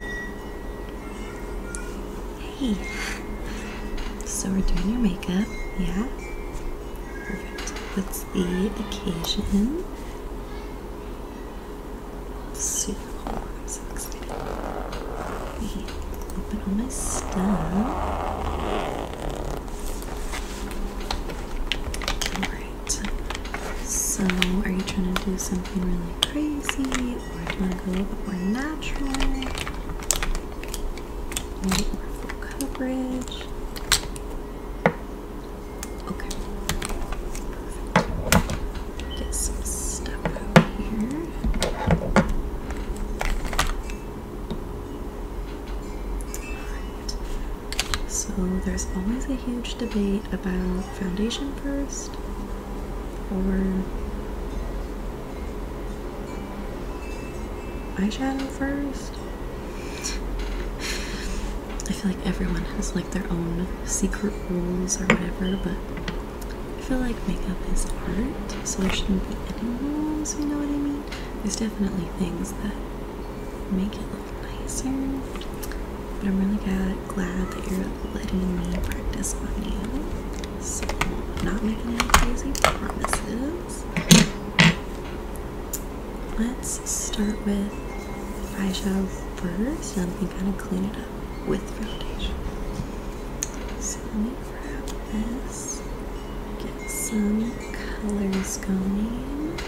Hey. So we're doing your makeup, yeah? Perfect. What's the occasion? Super cool. I'm so excited. Hey, open all my stuff. Alright. So are you trying to do something really crazy we're a little bit more natural, a little bit more full coverage. Okay, Get some stuff out here. Alright, so there's always a huge debate about foundation first or eyeshadow first. I feel like everyone has like their own secret rules or whatever, but I feel like makeup is art, so there shouldn't be any rules, you know what I mean? There's definitely things that make it look nicer but I'm really glad, that you're letting me practice my nails. So, not making any crazy promises. Let's start with eyeshadow first, and we kind of clean it up with foundation. So let me grab this, get some colors going.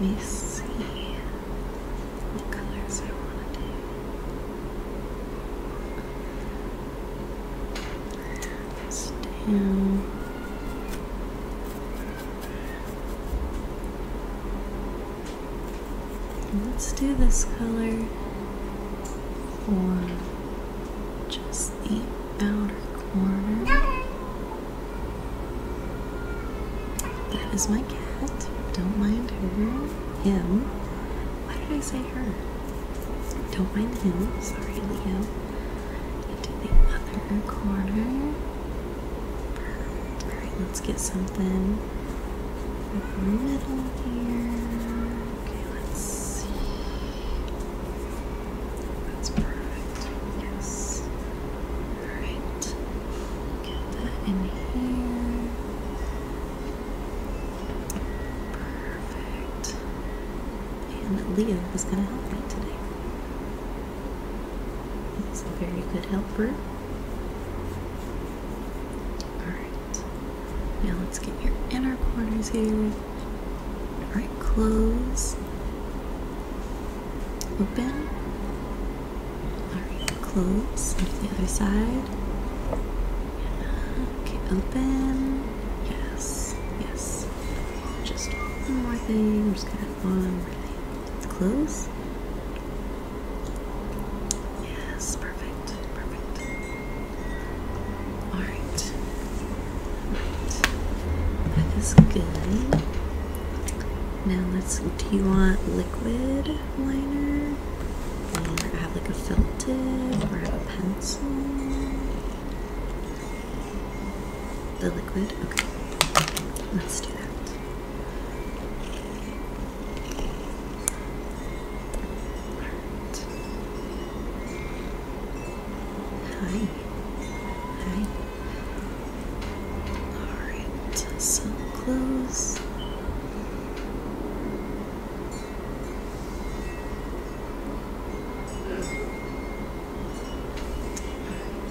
Let me see what colors I want to do. This Let's do this color for just the outer corner. That is my cat. Don't mind her. Him. Why did I say her? Don't mind him. Sorry, Leo into the other corner. Alright, let's get something in the middle here. Okay, let's see. That's perfect. Yes. Alright. Get that in here. Perfect and Leo was going to help me today. He's a very good helper. Alright, now let's get your inner corners here. Alright, close, open, alright, close, the other side. Okay, open, yes, yes. Just one more thing. I'm just gonna have one more thing. let close. Yes, perfect, perfect. all right. That is good. Now let's. Do you want liquid liner, or have like a felt tip, or have a pencil? The liquid? Okay. Let's do that. Alright. Hi. Hi. Alright, so close.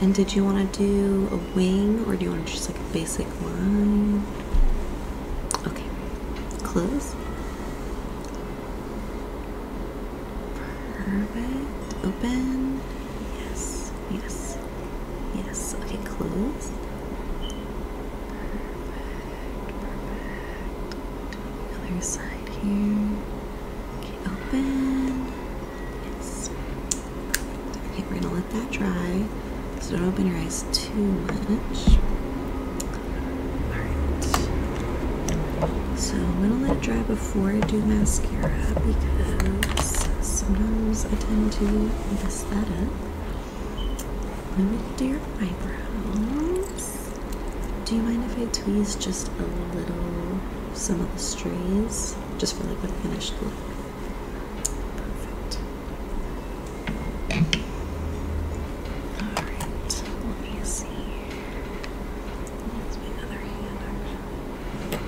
And did you want to do a wing or do you want just like a basic line? Okay, close. Perfect. Open. Yes, yes, yes. Okay, close. perfect. Other side here. Okay, open. Okay, we're gonna let that dry. So don't open your eyes too much. Alright. So I'm gonna let it dry before I do mascara because sometimes I tend to mess that up. Let me do your eyebrows. Yes. Do you mind if I tweeze just a little some of the strays? Just for like a finished look. Perfect. Alright, let me see. That's my other hand actually.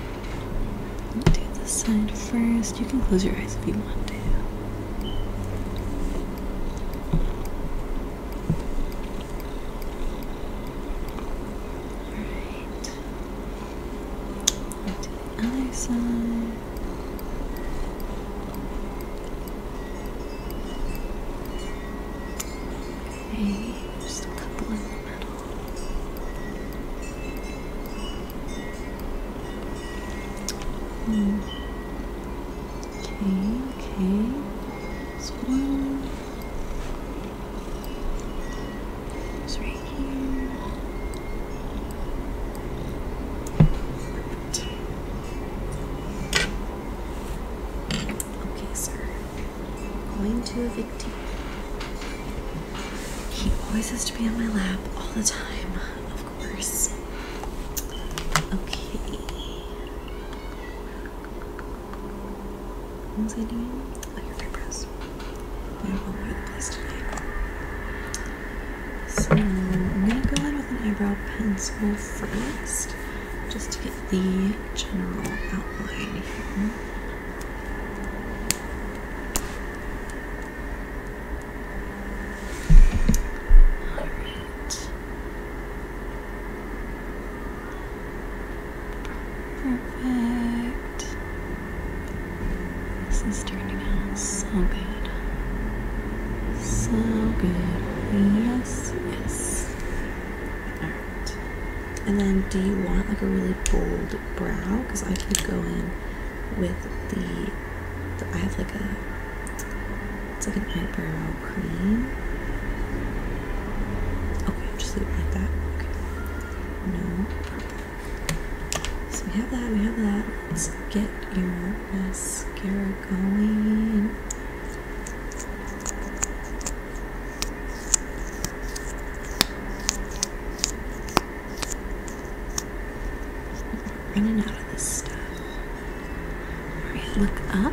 I'll do this side first. You can close your eyes if you want to. Alright. To the other side. Okay, just a couple in Hmm. okay one. It's right here. Okay, sir. Going to evict you. He always has to be on my lap all the time, of course. Okay. What was I doing? Oh, your press. We have all over the place tonight. So I'm gonna go in with an eyebrow pencil first, just to get the general outline Alright. Perfect. This is turning out so good. So good. Yes, yes. Alright. And then do you want like a really bold brow? Because I could go in with the, the I have like a it's like an eyebrow cream. Okay, I'll just leave it like that. Okay. No So we have that, we have that. Let's get your mascara going. Running out of this stuff. Alright, look up.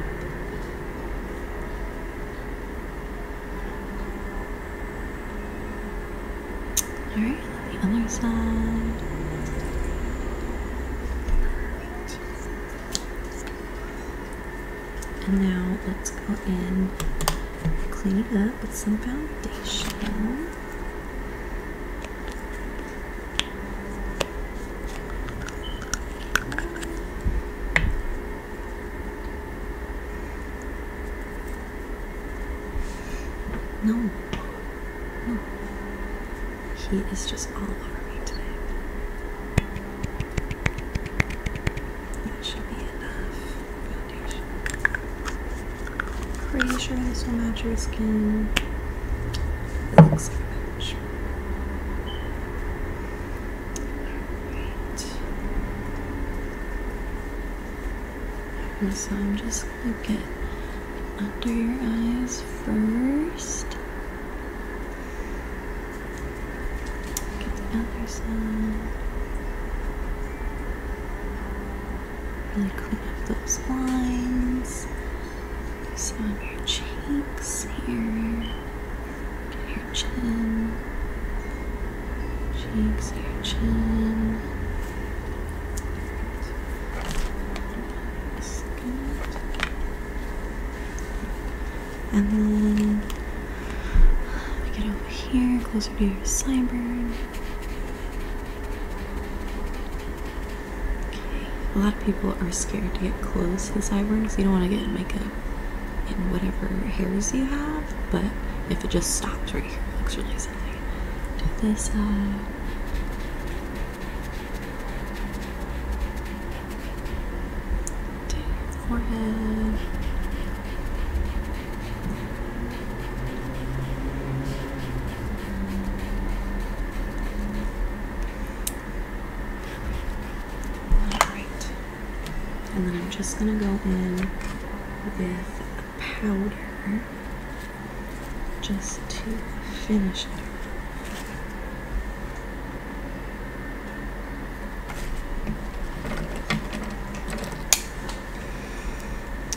Alright, on the other side. And now let's go in clean it up with some foundation. No. No. He is just all over me today. That should be enough foundation. Pretty sure this will match your skin. It looks like that, sure. so I'm just looking under your eyes first. Get the other side. Really clean up those lines some on your cheeks here, your chin, cheeks, your chin. That's And then get over here, closer to your sideburn. Okay. A lot of people are scared to get close to the sideburn because you don't want to get makeup in whatever hairs you have, but if it just stops right here, it looks really silly. Do this side. Uh, your forehead. Alright. And then I'm just going to go in with a powder just to finish it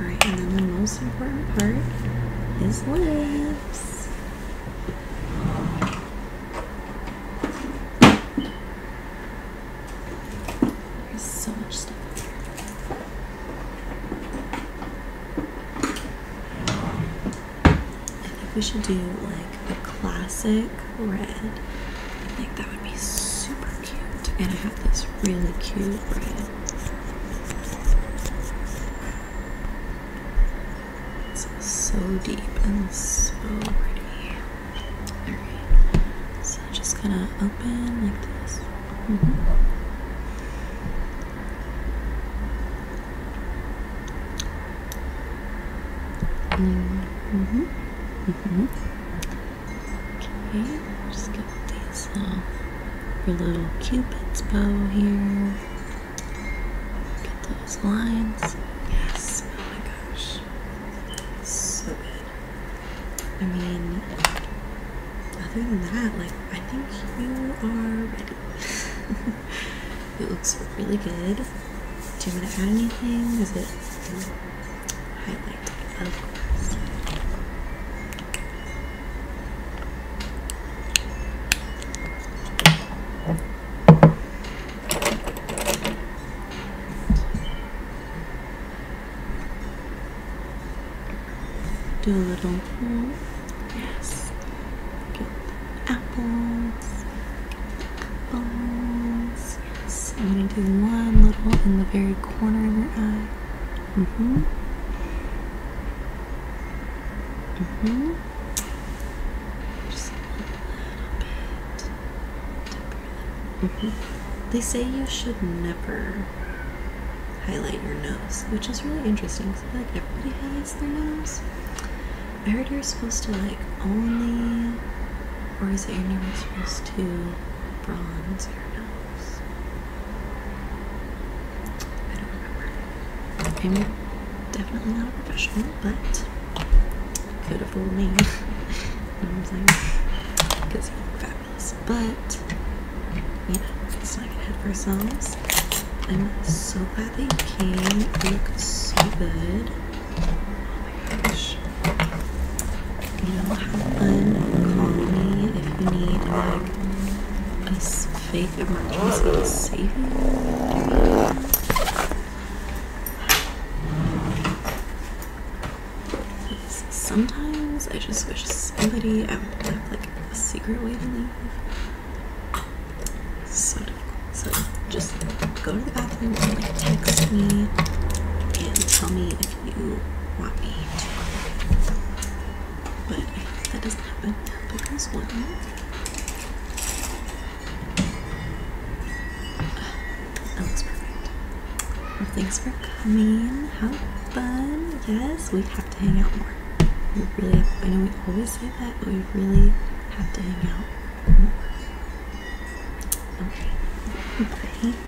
Alright, and then the most important part is lips. There's so much stuff in here. I think we should do like a classic red. I think that would be super cute. And I have this really cute red this so deep and so pretty. Alright, so just gonna open like this. -hmm. -hmm. -hmm. Okay, just got these uh, your little cupid's bow here. Get those lines. Yes. Oh my gosh. So good. I mean, um, other than that, like I think you are ready. it looks really good. Do you want to add anything? Is it highlight? Do a little, yes, get apples, apples, yes, I'm going to do one little in the very corner of your eye. Mm-hmm. Mm-hmm. Just a little bit to breathe. Mm-hmm. They say you should never highlight your nose, which is really interesting because like everybody highlights their nose. I heard you're supposed to like only or is it you're never supposed to bronze your nose? I don't remember. I'm definitely not a professional, but could have fooled me. you know what I'm saying? Because you fabulous. But, you know, let's not get ahead of ourselves. I'm so glad they came. look so good. Oh my gosh you know, have fun, call me if you need like a fake emergency to save you. Sometimes I just wish somebody I would have like a secret way to leave. So So just go to the bathroom and like text me and tell me if you want me to cook. But that doesn't happen. But this one. Uh, that looks perfect. Well, thanks for coming. How fun. Yes, we have to hang out more. We really, I know we always say that, but we really have to hang out more. Okay.